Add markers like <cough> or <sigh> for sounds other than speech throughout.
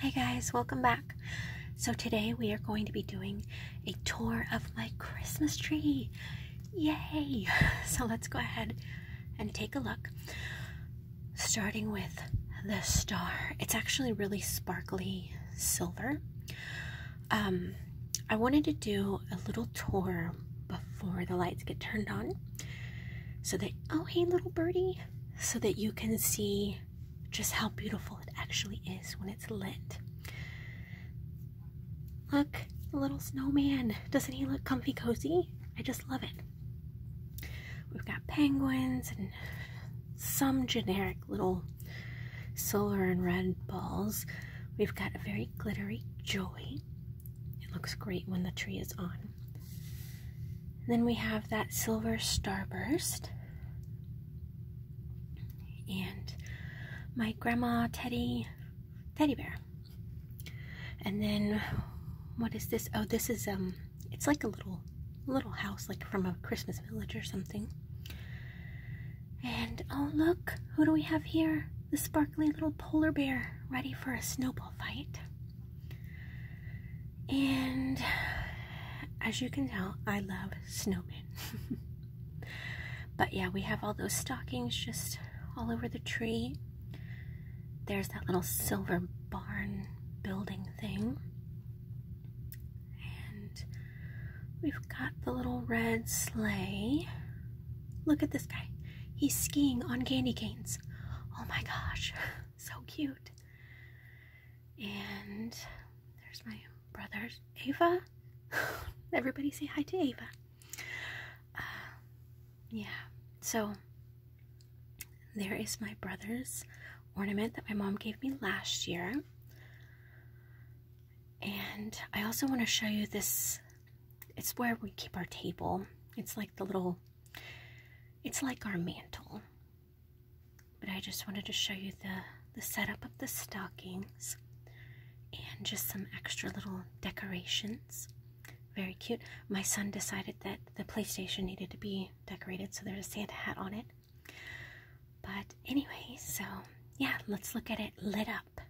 Hey guys, welcome back. So, today we are going to be doing a tour of my Christmas tree. Yay! <laughs> So, let's go ahead and take a look, starting with the star. It's actually really sparkly silver. Um, I wanted to do a little tour before the lights get turned on so that, oh, hey, little birdie so that you can see just how beautiful it actually is when it's lit. Look, little snowman. Doesn't he look comfy cozy? I just love it. We've got penguins and some generic little silver and red balls. We've got a very glittery joy. It looks great when the tree is on then we have that silver starburst. And my grandma teddy teddy bear. And then what is this? Oh, this is um it's like a little little house like from a Christmas village or something. And oh look, who do we have here? The sparkly little polar bear ready for a snowball fight. And as you can tell, I love snowmen. <laughs> but yeah, we have all those stockings just all over the tree. There's that little silver barn building thing. And we've got the little red sleigh. Look at this guy. He's skiing on candy canes. Oh my gosh. <laughs> so cute. And there's my brother's Ava. <laughs> Everybody say hi to Ava. Uh, yeah, so there is my brother's ornament that my mom gave me last year. And I also want to show you this. It's where we keep our table. It's like the little it's like our mantle. But I just wanted to show you the the setup of the stockings and just some extra little decorations. Very cute. My son decided that the PlayStation needed to be decorated, so there's a Santa hat on it. But anyway, so yeah, let's look at it lit up.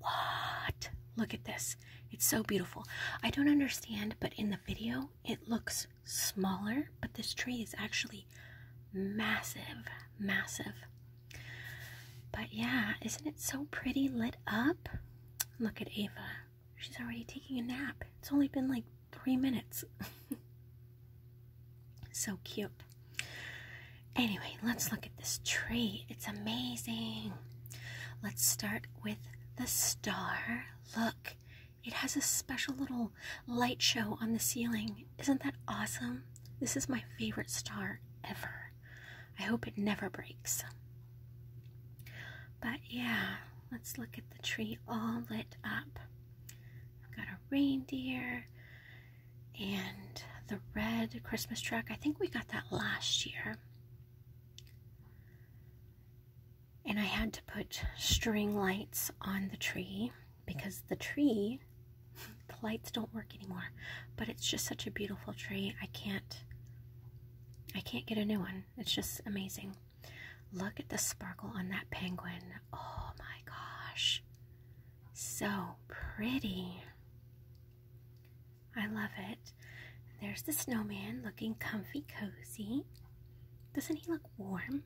What? Look at this. It's so beautiful. I don't understand, but in the video it looks smaller, but this tree is actually massive, massive. But yeah, isn't it so pretty lit up? Look at Ava. She's already taking a nap. It's only been like three minutes. <laughs> so cute. Anyway, let's look at this tree. It's amazing. Let's start with the star. Look, it has a special little light show on the ceiling. Isn't that awesome? This is my favorite star ever. I hope it never breaks. But yeah, let's look at the tree all lit up. I've got a reindeer and the red Christmas truck. I think we got that last year. And I had to put string lights on the tree because the tree, <laughs> the lights don't work anymore. But it's just such a beautiful tree. I can't, I can't get a new one. It's just amazing. Look at the sparkle on that penguin. Oh my gosh. So pretty. I love it. There's the snowman looking comfy cozy. Doesn't he look warm?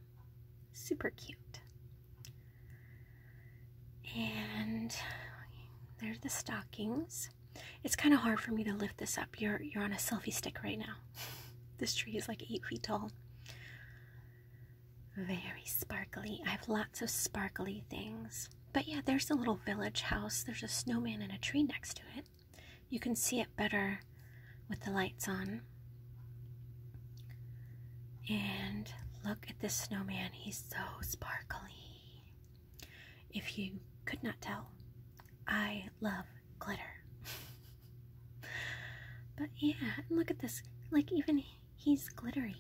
Super cute. And there's the stockings. It's kind of hard for me to lift this up. You're you're on a selfie stick right now. <laughs> this tree is like eight feet tall. Very sparkly. I have lots of sparkly things. But yeah, there's a little village house. There's a snowman in a tree next to it. You can see it better with the lights on. And look at this snowman. He's so sparkly. If you could not tell, I love glitter. <laughs> but yeah, look at this. Like, even He's glittery.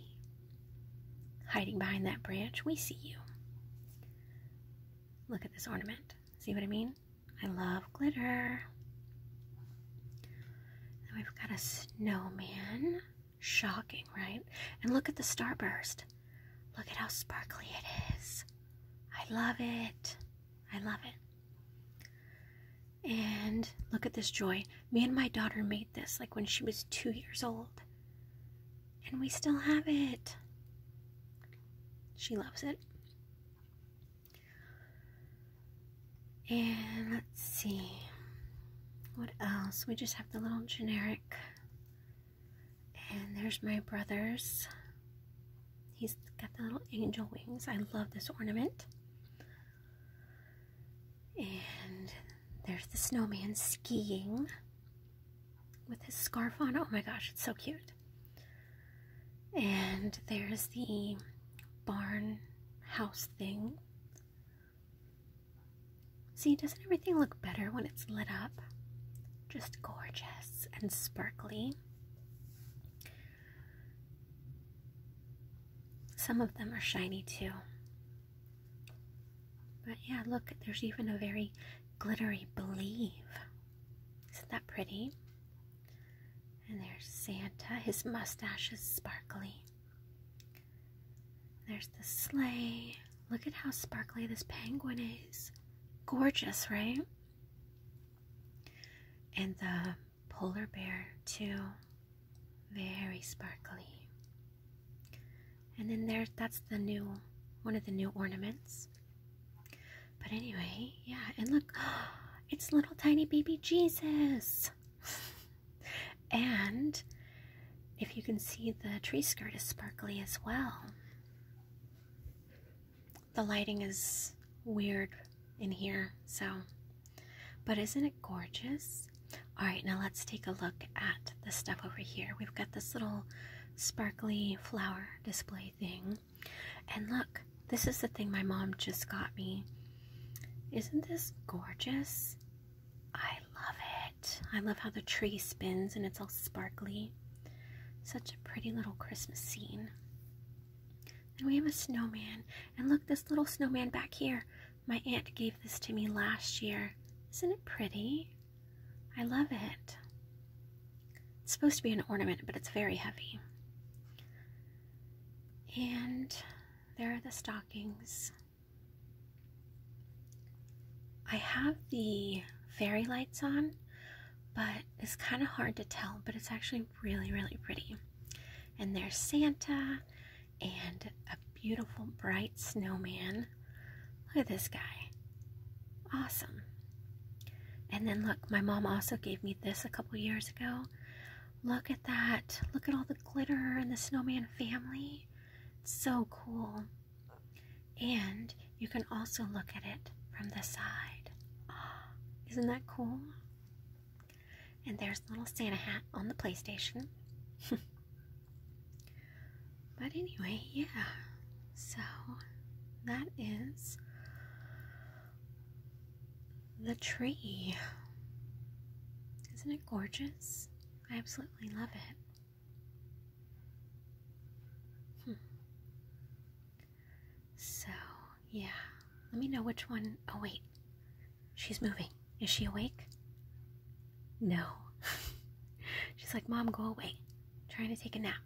Hiding behind that branch, we see you. Look at this ornament. See what I mean? I love glitter. we've got a snowman. Shocking, right? And look at the starburst. Look at how sparkly it is. I love it. I love it. And look at this joy. Me and my daughter made this like when she was two years old. And we still have it. She loves it. And let's see. What else? We just have the little generic. And there's my brother's. He's got the little angel wings. I love this ornament. And there's the snowman skiing with his scarf on. Oh my gosh, it's so cute. And there's the barn house thing. See, doesn't everything look better when it's lit up? Just gorgeous and sparkly. Some of them are shiny too. But yeah, look, there's even a very glittery believe. Isn't that pretty? And there's Santa. His mustache is sparkly. There's the sleigh. Look at how sparkly this penguin is. Gorgeous, right? And the polar bear, too very sparkly. And then there, that's the new, one of the new ornaments. But anyway, yeah, and look, <gasps> it's little tiny baby Jesus. <laughs> and if you can see, the tree skirt is sparkly as well. The lighting is weird in here, so but isn't it gorgeous? All right, now let's take a look at the stuff over here. We've got this little sparkly flower display thing. And look, this is the thing my mom just got me. Isn't this gorgeous? I love it. I love how the tree spins and it's all sparkly. Such a pretty little Christmas scene. And we have a snowman. And look, this little snowman back here. My aunt gave this to me last year. Isn't it pretty? I love it. It's supposed to be an ornament, but it's very heavy. And there are the stockings. I have the fairy lights on, but it's kind of hard to tell, but it's actually really, really pretty. And there's Santa, and a beautiful bright snowman. Look at this guy. Awesome. And then look, my mom also gave me this a couple years ago. Look at that. Look at all the glitter and the snowman family. It's so cool. And you can also look at it from the side. <gasps> isn't that cool? And there's little Santa hat on the PlayStation. <laughs> but anyway, yeah. So that is the tree. Isn't it gorgeous? I absolutely love it. Hmm. So yeah. Let me know which one. Oh, wait. She's moving. Is she awake? No. <laughs> She's like, Mom, go away. trying to take a nap.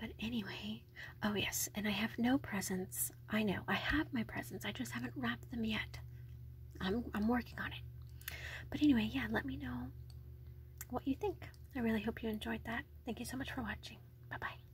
But anyway, oh yes, and I have no presents. I know, I have my presents. I just haven't wrapped them yet. I'm, I'm working on it. But anyway, yeah, let me know what you think. I really hope you enjoyed that. Thank you so much for watching. Bye-bye.